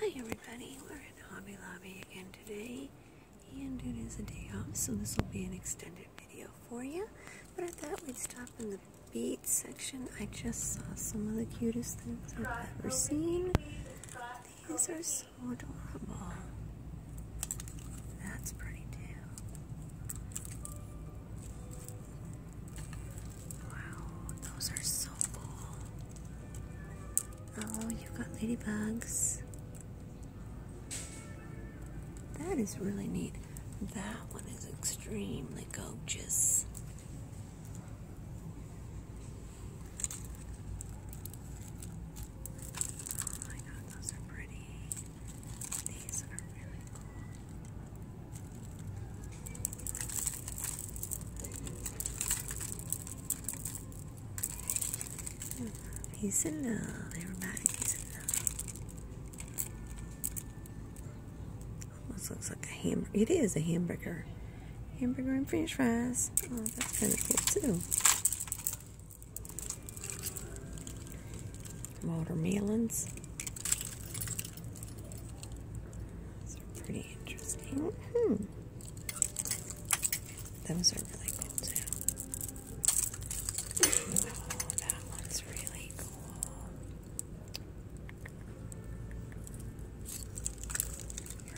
Hi everybody, we're at Hobby Lobby again today, and it is a day off, so this will be an extended video for you. But I thought we'd stop in the bead section. I just saw some of the cutest things I've ever seen. These are so adorable. That's pretty too. Wow, those are so cool. Oh, you've got ladybugs. That is really neat. That one is extremely gorgeous. Oh my god, those are pretty. These are really cool. Peace and love, everybody. Peace and love. Almost looks like a hamburger. It is a hamburger. Hamburger and french fries. Oh, that's kind of cool, too. Watermelons. Those are pretty interesting. Mm-hmm. Those are really cool too. Oh, that one's really cool.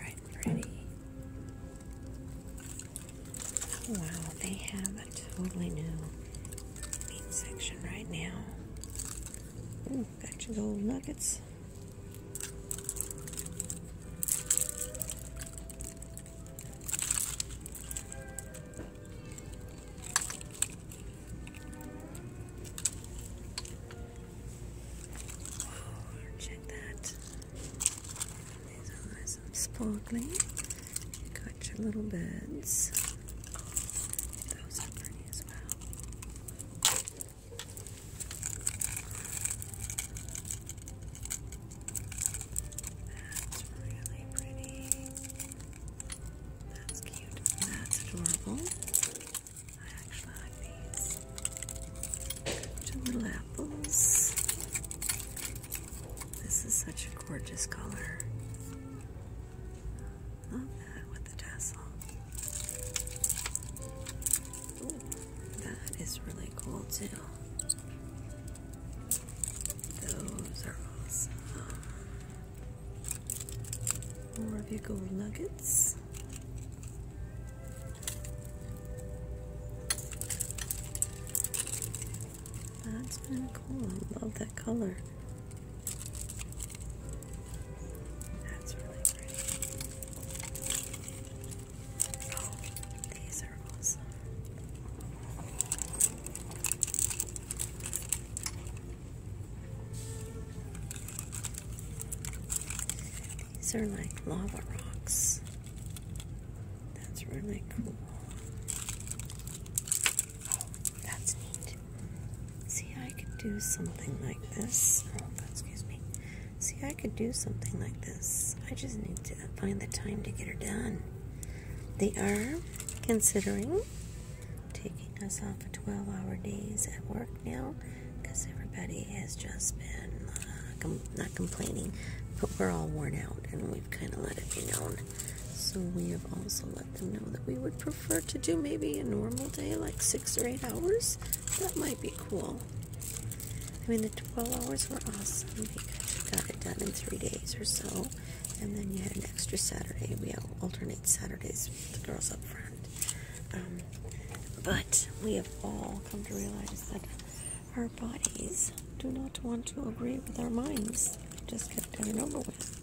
Right, pretty. Wow, they have a totally new section right now. Ooh, back to nuggets. Wow, oh, check that. These are nice and got your little birds. Those are pretty as that's really pretty. That's cute. That's adorable. I actually like these. Two little apples. This is such a gorgeous color. Love that with the tassel. that is really cool too. Those are awesome. More of your gold nuggets. That's been cool. I love that color. Oh, these are awesome. These are like lava rocks. That's really cool. Oh, that's neat. See, I could do something like this. Oh, excuse me. See, I could do something like this. I just need to find the time to get her done. They are considering taking us off a 12 hour days at work now because everybody has just been uh, not complaining, but we're all worn out and we've kind of let it be known so we have also let them know that we would prefer to do maybe a normal day, like six or eight hours. That might be cool. I mean, the 12 hours were awesome because we got it done in three days or so. And then you had an extra Saturday. We alternate Saturdays with the girls up front. Um, but we have all come to realize that our bodies do not want to agree with our minds. Just get it over with.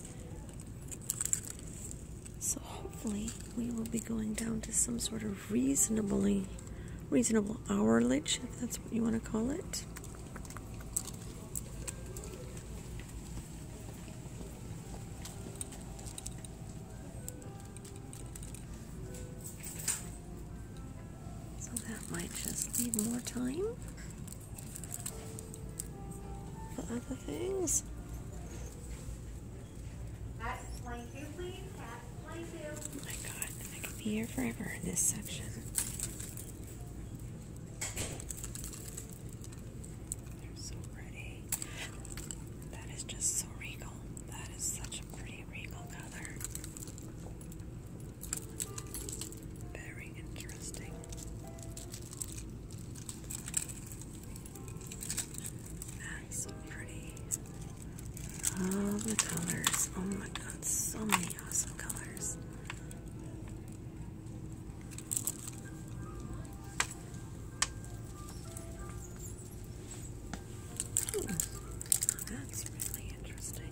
So hopefully we will be going down to some sort of reasonably reasonable hourage, if that's what you want to call it. So that might just leave more time the other things. Oh my god, I could be here forever in this section. They're so pretty. That is just so regal. That is such a pretty regal color. Very interesting. That's pretty. All the colors. Oh my god, so many awesome colors. Hmm, that's really interesting.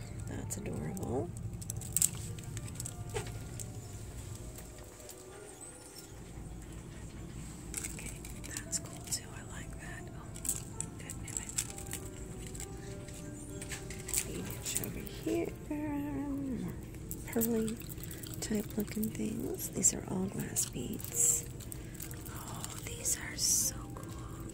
That's adorable. Okay, that's cool too. I like that. Oh, good image. over here. pearly type looking things. These are all glass beads. Oh, these are so cool.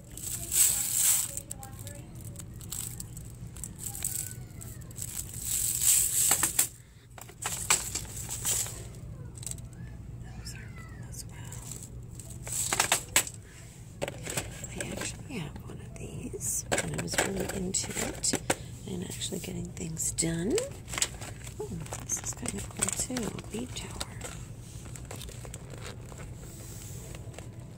I actually have one of these, and I was really into it and actually getting things done. Oh, this is kind of cool too. Bead tower. I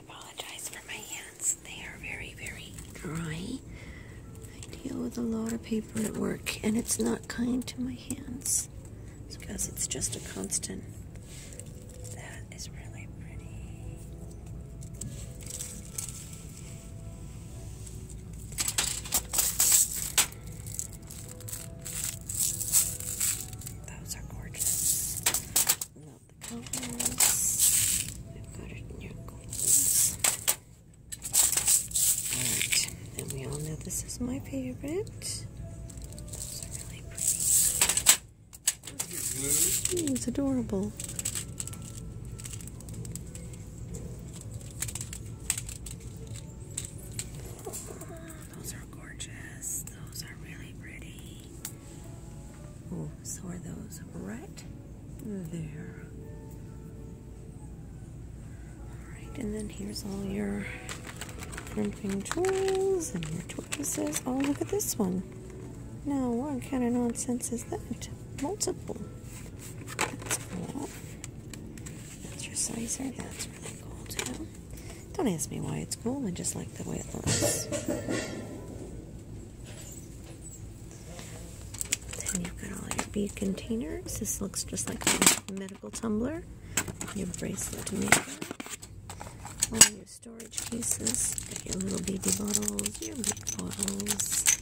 apologize for my hands. They are very, very dry. I deal with a lot of paper at work, and it's not kind to my hands because it's just a constant. That is really pretty. Those are gorgeous. Love the colors. We've got it in your goals. Alright, and we all know this is my favorite. Those really pretty. it's adorable. Those are gorgeous. Those are really pretty. Oh, so are those right there. Alright, and then here's all your crimping tools and your tortoises. Oh, look at this one. Now, what kind of nonsense is that? Multiple. That's your sizer. That's really cool too. Don't ask me why it's cool. I just like the way it looks. Then you've got all your bead containers. This looks just like a medical tumbler. Your bracelet maker. All your storage cases. Got your little baby bottles. Your big bottles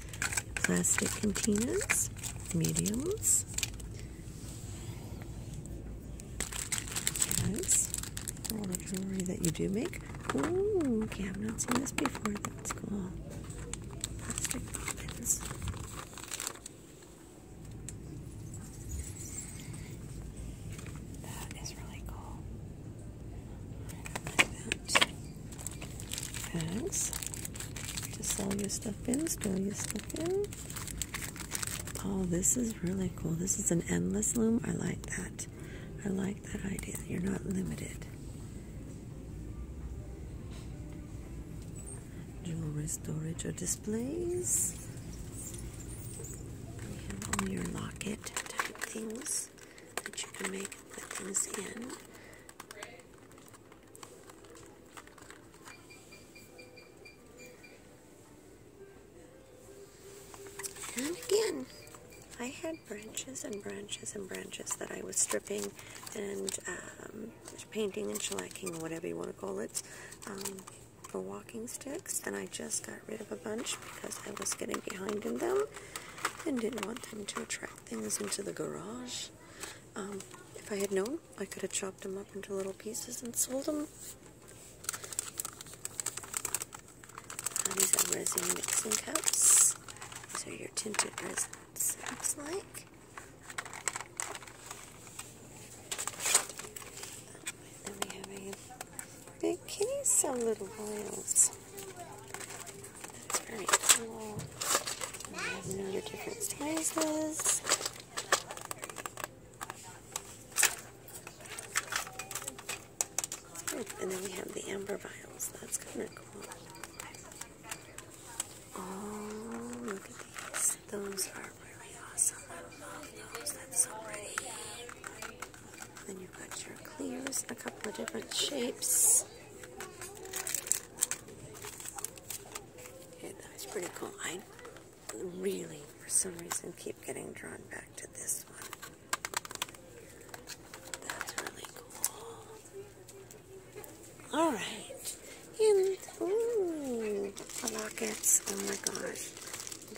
plastic containers, mediums. All the jewelry that you do make. Ooh, okay, I've not seen this before. That's cool. Plastic ribbons. That is really cool bags to sell your stuff in, store your stuff in. Oh, this is really cool. This is an endless loom. I like that. I like that idea. You're not limited. Jewelry storage or displays. We have all your locket type things that you can make Put things in. And again, I had branches and branches and branches that I was stripping and um, painting and shellacking, whatever you want to call it, um, for walking sticks. And I just got rid of a bunch because I was getting behind in them and didn't want them to attract things into the garage. Um, if I had known, I could have chopped them up into little pieces and sold them. Um, these are resin mixing cups. These are your tinted resins, it looks like. Then we have a big kitty, some little vials. That's very cool. And you your different sizes. And then we have the amber vials. That's kind of cool. Oh, look at these. Those are really awesome. That's so pretty. Then you've got your clears, a couple of different shapes. Okay, that was pretty cool. I really, for some reason, keep getting drawn back to this one. That's really cool. All right. And, ooh, lockets. Oh my gosh.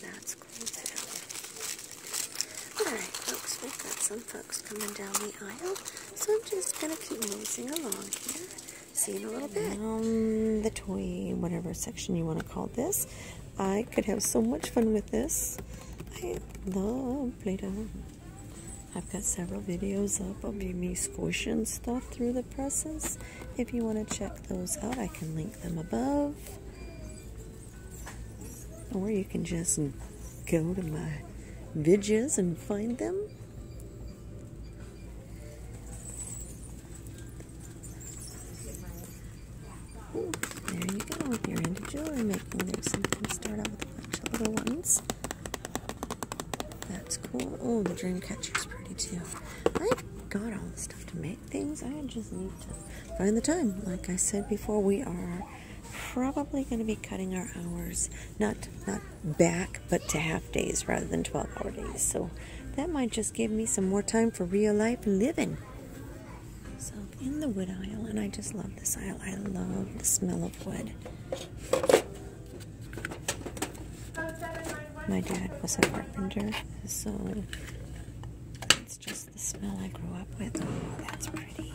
That's cool too. Alright folks, we've got some folks coming down the the So I'm just going to keep nosing along here. See a little bit. the toy, whatever section you want to call this. I could have so much fun with this. I love Play-Doh. I've got several videos up of me squishing stuff through the presses. If you want to check those out, I can link them above. Or you can just go to my vidges and find them. there you go. If you're into jewelry making, there's something to start out with a bunch of little ones. That's cool. Oh, the dream catcher's pretty too. I have got all the stuff to make things. I just need to find the time. Like I said before, we are probably going to be cutting our hours not not back but to half days rather than 12 hour days so that might just give me some more time for real life living so in the wood aisle and i just love this aisle i love the smell of wood my dad was a carpenter so it's just the smell i grew up with oh that's pretty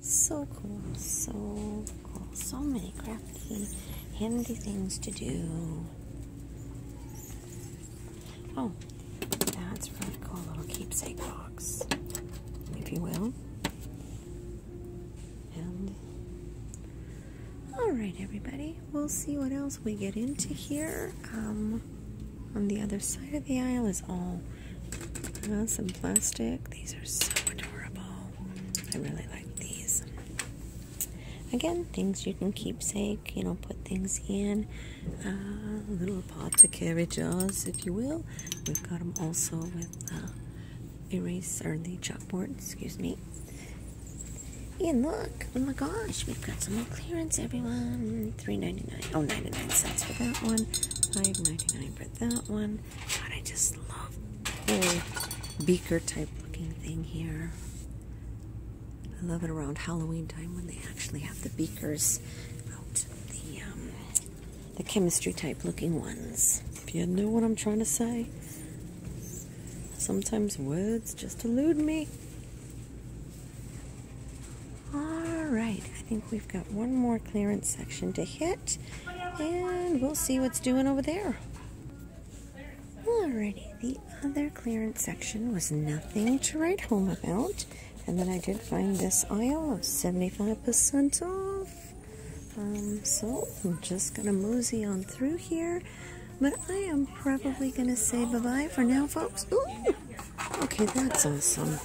so cool, so cool. So many crafty, handy things to do. Oh, that's a really cool little keepsake box, if you will. And all right, everybody, we'll see what else we get into here. Um, on the other side of the aisle is all some plastic. These are so adorable. I really like these. Again, things you can keepsake, you know, put things in. Uh, little pots or carry jars, if you will. We've got them also with uh, erase or the chalkboard, excuse me. And look, oh my gosh, we've got some more clearance, everyone. Three ninety nine. Oh, 99 cents for that one. Five ninety nine for that one. God, I just love the beaker type looking thing here. I love it around Halloween time when they actually have the beakers out, the um, chemistry type looking ones. If you know what I'm trying to say. Sometimes words just elude me. Alright, I think we've got one more clearance section to hit, and we'll see what's doing over there. Alrighty, the other clearance section was nothing to write home about, and then I did find this aisle of 75% off. Um, so I'm just going to mosey on through here but I am probably going to say bye-bye for now, folks. Okay, that's awesome.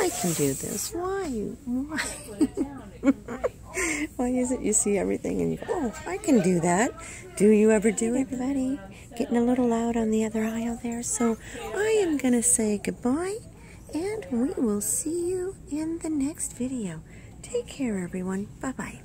I can do this. Why? Why? Why is it you see everything and oh, I can do that. Do you ever do it? Everybody getting a little loud on the other aisle there. So I am going to say goodbye and we will see you in the next video. Take care, everyone. Bye-bye.